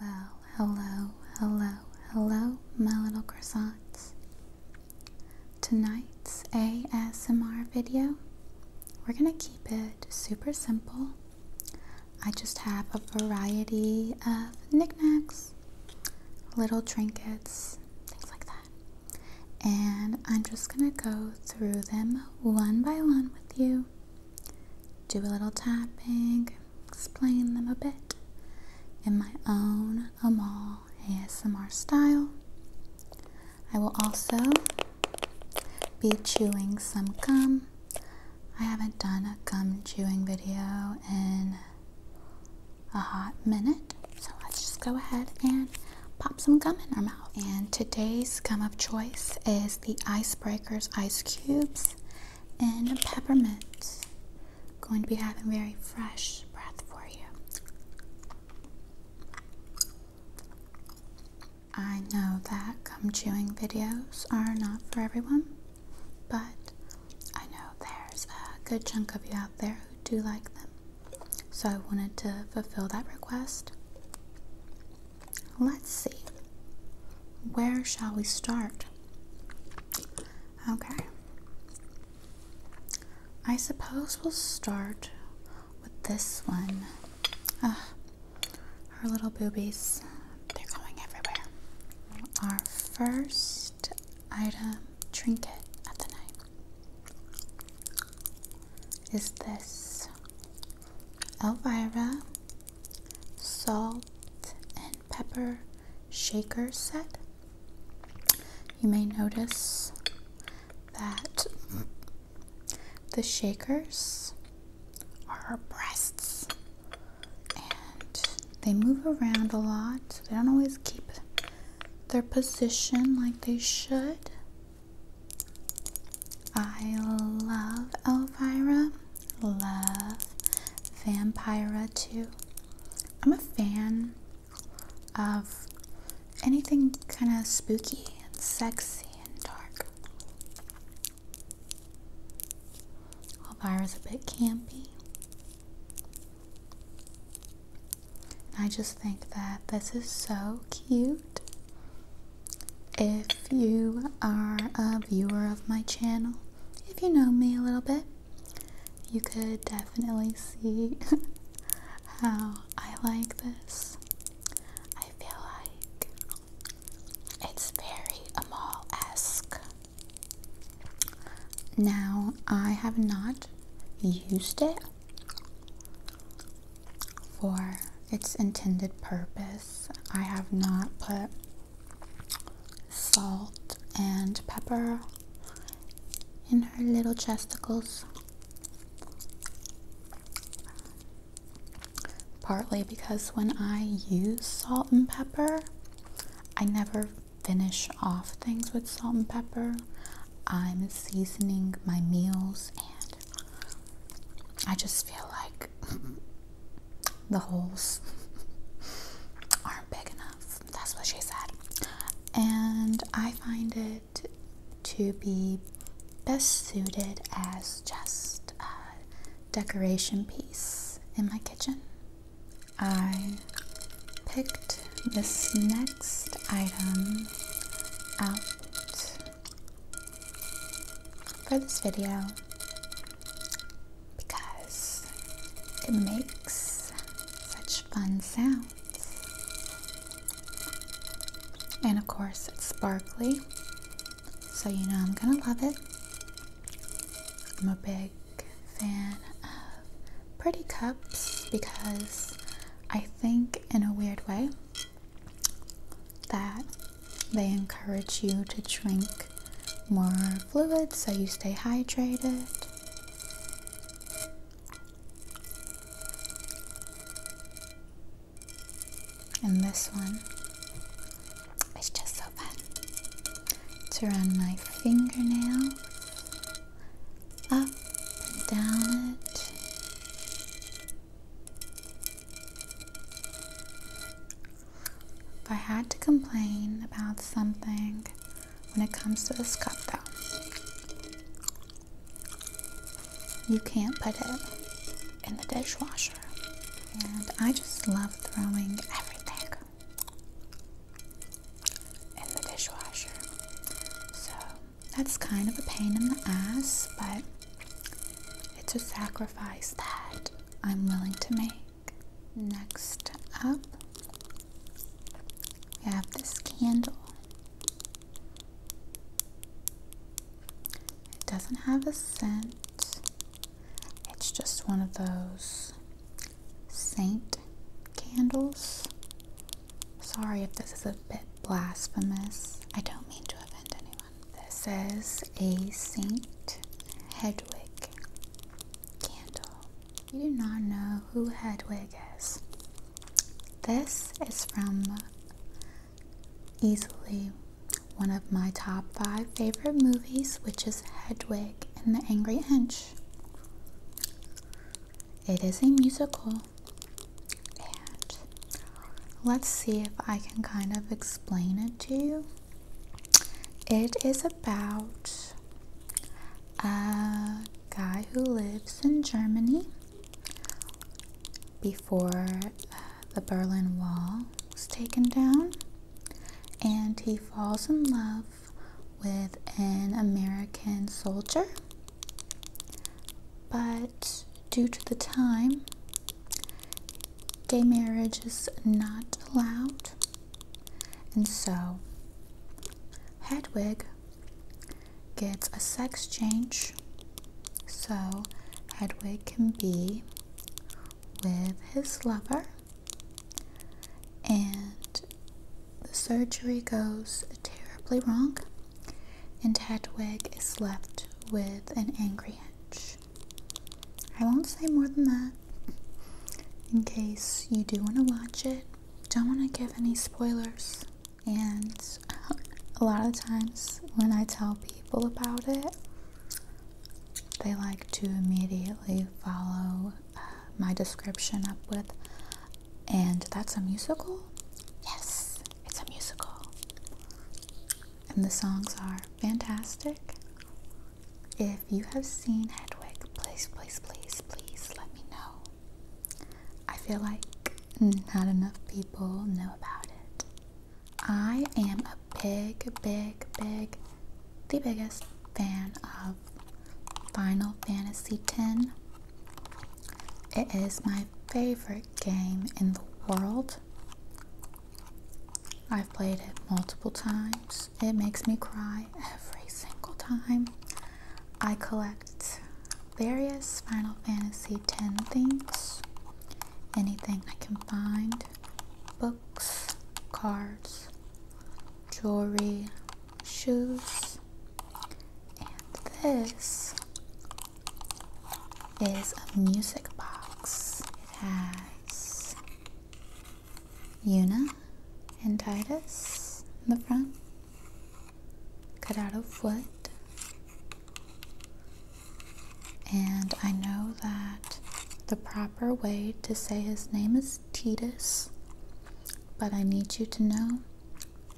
Well, hello, hello, hello, my little croissants. Tonight's ASMR video, we're gonna keep it super simple. I just have a variety of knickknacks, little trinkets, things like that. And I'm just gonna go through them one by one with you do a little tapping, explain them a bit in my own Amal ASMR style. I will also be chewing some gum. I haven't done a gum chewing video in a hot minute, so let's just go ahead and pop some gum in our mouth. And today's gum of choice is the Icebreakers Ice Cubes and peppermint. Going to be having very fresh breath for you. I know that gum chewing videos are not for everyone, but I know there's a good chunk of you out there who do like them. So I wanted to fulfill that request. Let's see. Where shall we start Okay. I suppose we'll start with this one. Ugh, her little boobies, they're going everywhere. Our first item, trinket of the night, is this Elvira salt and pepper shaker set. You may notice that the shakers are breasts and they move around a lot. So they don't always keep their position like they should. I love Elvira love Vampira too. I'm a fan of anything kind of spooky and sexy and dark. is a bit campy. I just think that this is so cute. If if you are a viewer of my channel, if you know me a little bit, you could definitely see how I like this. I feel like it's very Amal esque. Now, I have not used it for its intended purpose. I have not put salt and pepper in her little chesticles. Partly because when I use salt and pepper, I never finish off things with salt and pepper. I'm seasoning my meals and I just feel like the holes aren't big enough. That's what she said. And I find it to be best suited as just a decoration piece in my kitchen. I picked this next item out for this video because it makes such fun sounds. And of course, it's sparkly, so you know I'm gonna love it. I'm a big fan of pretty cups because I think, in a weird way, that they encourage you to drink more fluids so you stay hydrated. And this one is just so fun. to run my fingernail, up and down it. If I had to complain about something when it comes to this cup, though, you can't put it in the dishwasher. And I just love throwing everything in the dishwasher. So that's kind of a pain in the ass, but it's a sacrifice that I'm willing to make. Next up, we have this candle. It doesn't have a scent, it's just one of those saint candles. Sorry if this is a bit blasphemous. I don't mean to offend anyone. This is a Saint Hedwig candle. You do not know who Hedwig is. This is from easily one of my top five favorite movies, which is Hedwig and the Angry Inch. It is a musical, and let's see if I can kind of explain it to you. It is about a guy who lives in Germany before uh, the Berlin Wall was taken down, and he falls in love with an American soldier. But due to the time, gay marriage is not allowed and so Hedwig gets a sex change so Hedwig can be with his lover and the surgery goes terribly wrong and Hedwig is left with an angry hench. I won't say more than that in case you do want to watch it. Don't want to give any spoilers. And a lot of times when I tell people about it, they like to immediately follow uh, my description up with, and that's a musical? Yes, it's a musical. And the songs are fantastic. If you have seen Hedwig, please, please, please, please let me know. I feel like not enough people know about it. I am a big, big, big, the biggest fan of Final Fantasy X. It is my favorite game in the world. I've played it multiple times. It makes me cry every single time. I collect various Final Fantasy ten things, anything I can find, books, cards, jewelry, shoes, and this is a music box. It has Una and Titus in the front, cut out of foot, And I know that the proper way to say his name is Titus, but I need you to know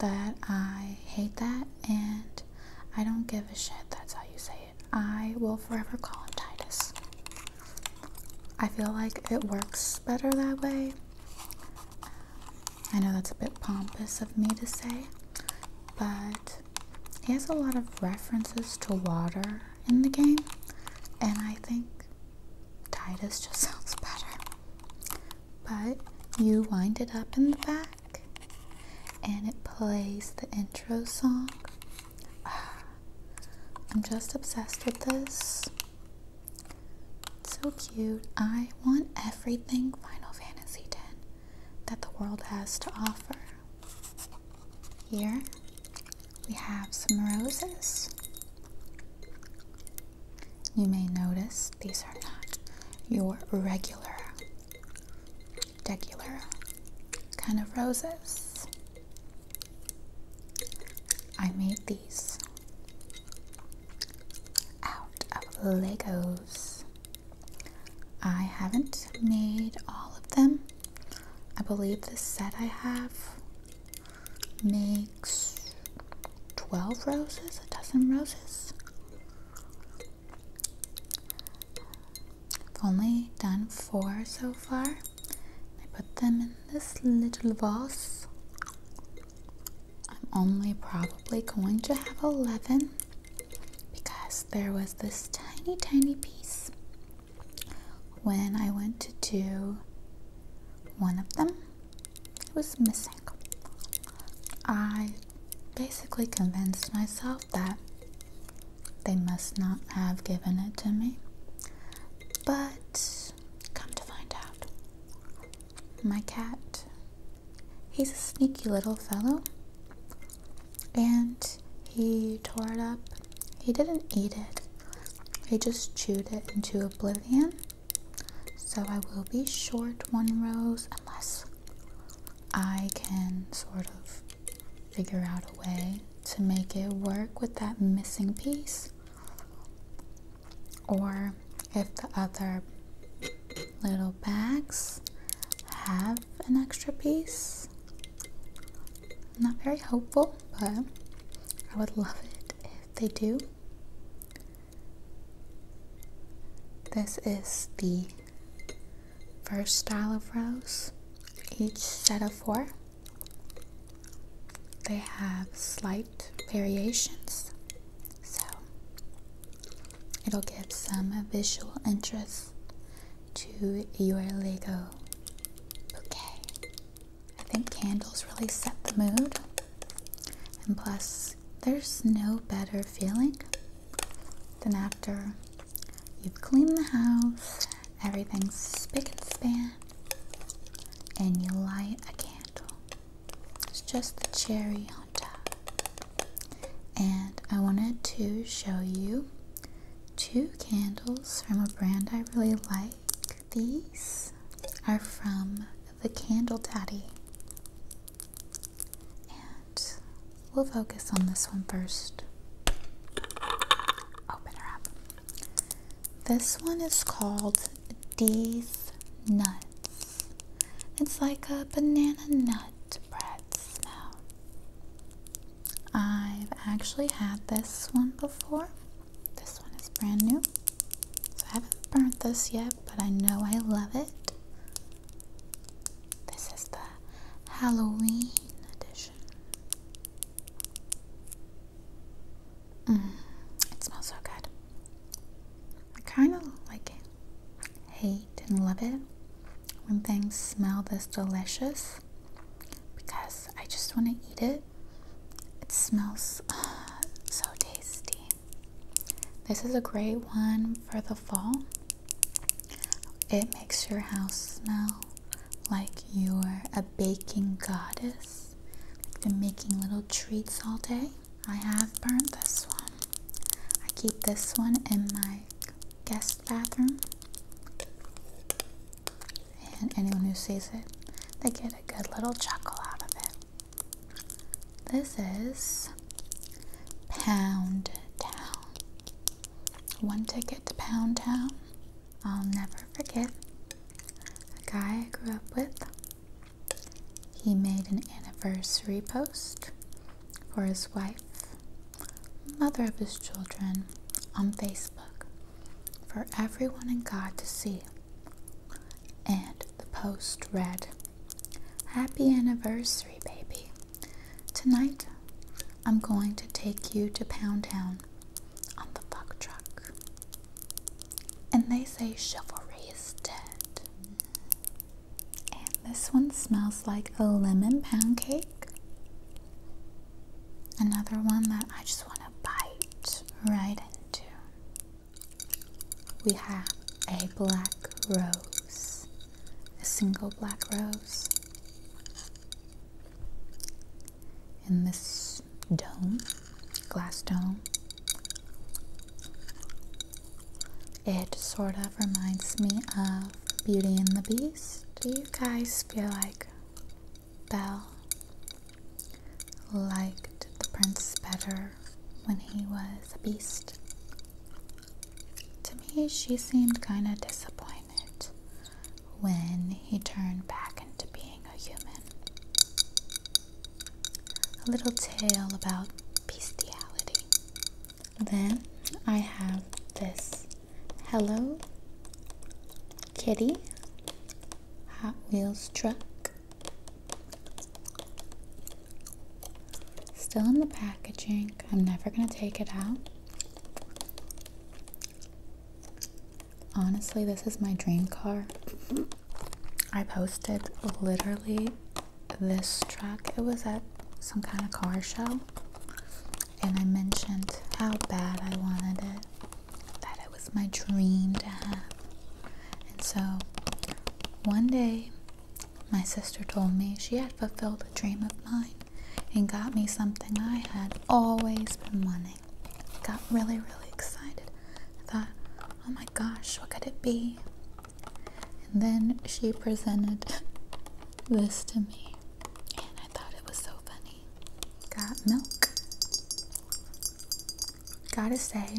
that I hate that and I don't give a shit. That's how you say it. I will forever call him Titus. I feel like it works better that way. I know that's a bit pompous of me to say, but he has a lot of references to water in the game, and I think Titus just sounds better. But you wind it up in the back, and it plays the intro song. Ah, I'm just obsessed with this. so cute. I want everything Final Fantasy X that the world has to offer. Here we have some roses. You may notice these are not your regular, regular kind of roses. I made these out of Legos. I haven't made all of them. I believe the set I have makes 12 roses, a dozen roses. I've only done four so far. I put them in this little vase I'm only probably going to have 11 because there was this tiny tiny piece when I went to do one of them it was missing I basically convinced myself that they must not have given it to me but come to find out, my cat, he's a sneaky little fellow. And he tore it up. He didn't eat it, he just chewed it into oblivion. So I will be short one rose unless I can sort of figure out a way to make it work with that missing piece or if the other little bags have an extra piece. not very hopeful, but I would love it if they do. This is the first style of rose, each set of four. They have slight variations, so it'll give some visual interest to your Lego bouquet. I think candles really set the mood, and plus, there's no better feeling than after you've cleaned the house Everything's spick and span. And you light a candle. It's just the cherry on top. And I wanted to show you two candles from a brand I really like. These are from the Candle Daddy. And we'll focus on this one first. Open her up. This one is called D's Nuts. It's like a banana nut bread smell. I've actually had this one before. This one is brand new. So I haven't burnt this yet, but I know I love it. This is the Halloween edition. Mm. it smells so good. I kind of like Hate and love it when things smell this delicious because I just want to eat it. It smells so tasty. This is a great one for the fall. It makes your house smell like you're a baking goddess. I've been making little treats all day. I have burned this one. I keep this one in my guest bathroom. And anyone who sees it, they get a good little chuckle out of it. This is Pound Town. One ticket to Pound Town I'll never forget a guy I grew up with. He made an anniversary post for his wife, mother of his children, on Facebook for everyone and God to see. And the post read, Happy anniversary, baby. Tonight, I'm going to take you to Pound Town on the fuck truck. And they say chivalry is dead. And this one smells like a lemon pound cake. Another one that I just want to bite right into. We have a black rose, a single black rose in this dome, glass dome. It sort of reminds me of Beauty and the Beast. Do you guys feel like Belle liked the prince better when he was a beast? To me, she seemed kind of disappointed when he turned back into being a human. A little tale about bestiality. Then I have this Hello Kitty Hot Wheels truck. Still in the packaging. I'm never going to take it out. Honestly, this is my dream car. I posted literally this truck. It was at some kind of car show. And I mentioned how bad I wanted it. That it was my dream to have. And so one day, my sister told me she had fulfilled a dream of mine and got me something I had always been wanting. I got really, really excited. I thought, oh my gosh, what could it be? And then she presented this to me, and I thought it was so funny. Got milk. Gotta say,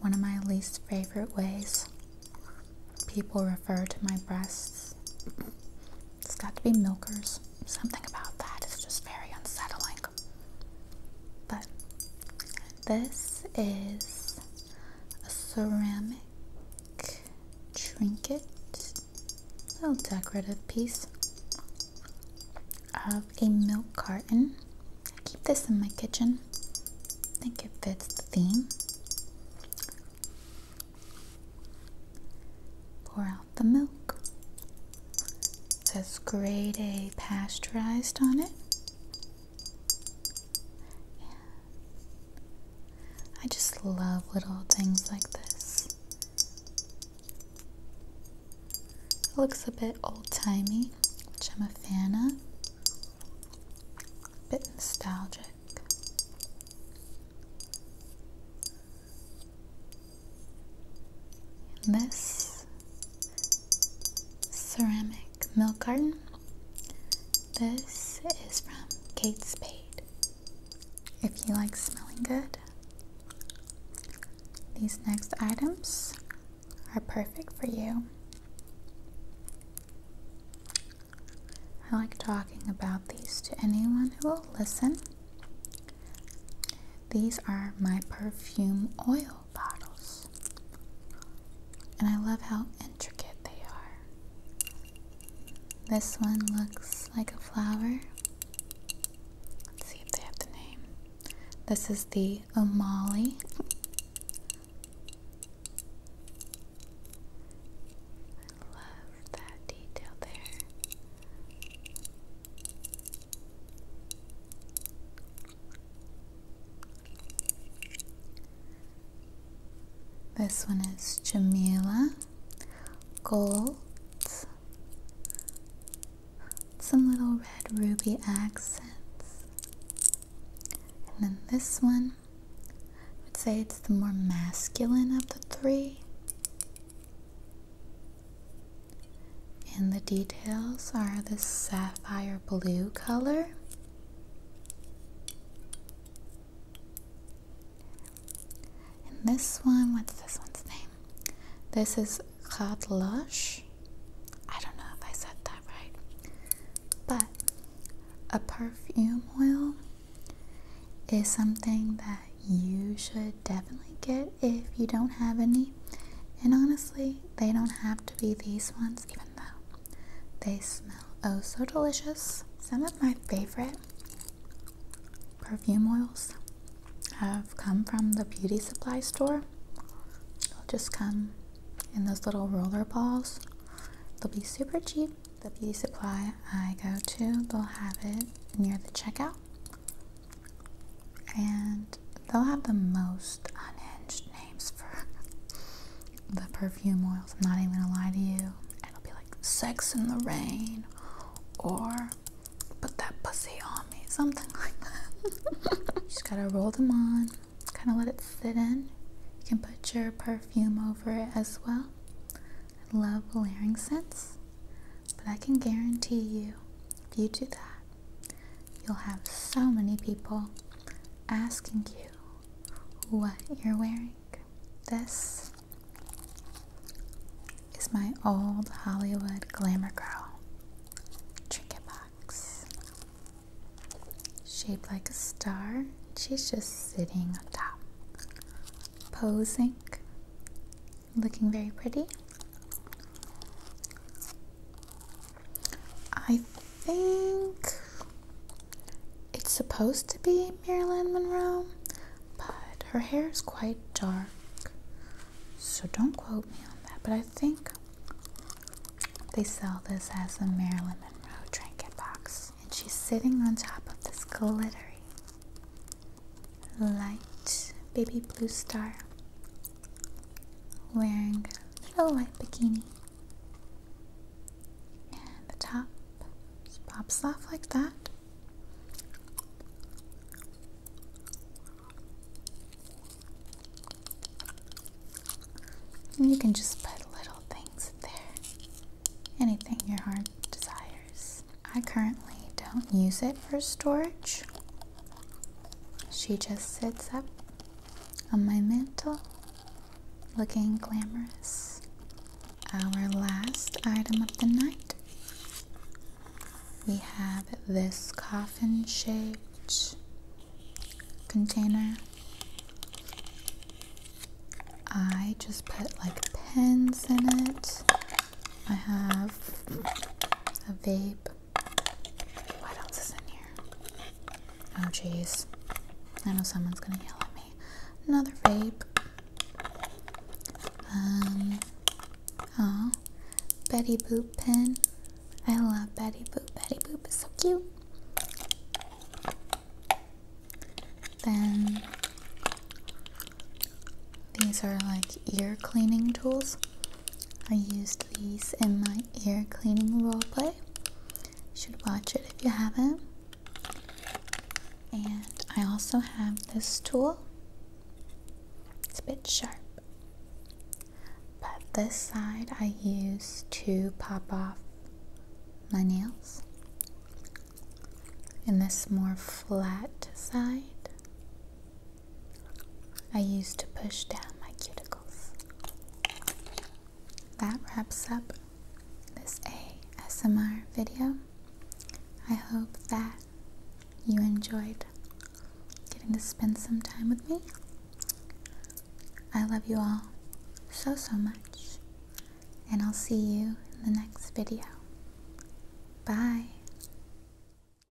one of my least favorite ways people refer to my breasts. It's got to be milkers. Something about that is just very unsettling. But this is a ceramic trinket, little decorative piece of a milk carton. I keep this in my kitchen. I think it fits the theme. Pour the milk. says grade A pasteurized on it. I just love little things like this. looks a bit old timey, which I'm a fan of. A bit nostalgic in this ceramic milk garden. This is from Kate Spade. If you like smelling good, these next items are perfect for you. I like talking about these to anyone who will listen these are my perfume oil bottles. And I love how intricate they are. This one looks like a flower. Let's see if they have the name. This is the Amali. I love that detail there. This one is Jamila Gold. Some little red ruby accents. And then this one, I would say it's the more masculine of the three. And the details are this sapphire blue color. And this one, what's this one's name? This is Katlush. I don't know if I said that right. But a perfume oil is something that you should definitely get if you don't have any. And honestly, they don't have to be these ones, even though they smell oh so delicious. Some of my favorite perfume oils have come from the beauty supply store. They'll just come in those little roller balls. They'll be super cheap. The beauty supply I go to, they'll have it near the checkout and they'll have the most unhinged names for the perfume oils. I'm not even gonna lie to you. It'll be like sex in the rain or put that pussy on me, something like that. Just gotta roll them on, kind of let it sit in. You can put your perfume over it as well. I love layering scents. But I can guarantee you, if you do that, you'll have so many people asking you what you're wearing. This is my old Hollywood Glamour Girl trinket box. Shaped like a star, she's just sitting on top, posing looking very pretty. I think it's supposed to be Marilyn Monroe, but her hair is quite dark. So don't quote me on that, but I think they sell this as a Marilyn Monroe trinket box. And she's sitting on top of this glittery light baby blue star wearing a little white bikini. And the top pops off like that. And you can just put little things there. Anything your heart desires. I currently don't use it for storage. She just sits up on my mantle looking glamorous. Our last item of the night we have this coffin shaped container. I just put like pens in it. I have a vape what else is in here? Oh, jeez. I know someone's gonna yell at me. Another vape. Um. Aw. Betty Boop pen. I love Betty Boop. Betty Boop is so cute. Then these are like ear cleaning tools. I used these in my ear cleaning roleplay. You should watch it if you haven't. And I also have this tool. It's a bit sharp. But this side I use to pop off my nails. And this more flat side I used to push down my cuticles. That wraps up this ASMR video. I hope that you enjoyed getting to spend some time with me. I love you all so, so much, and I'll see you in the next video. Bye.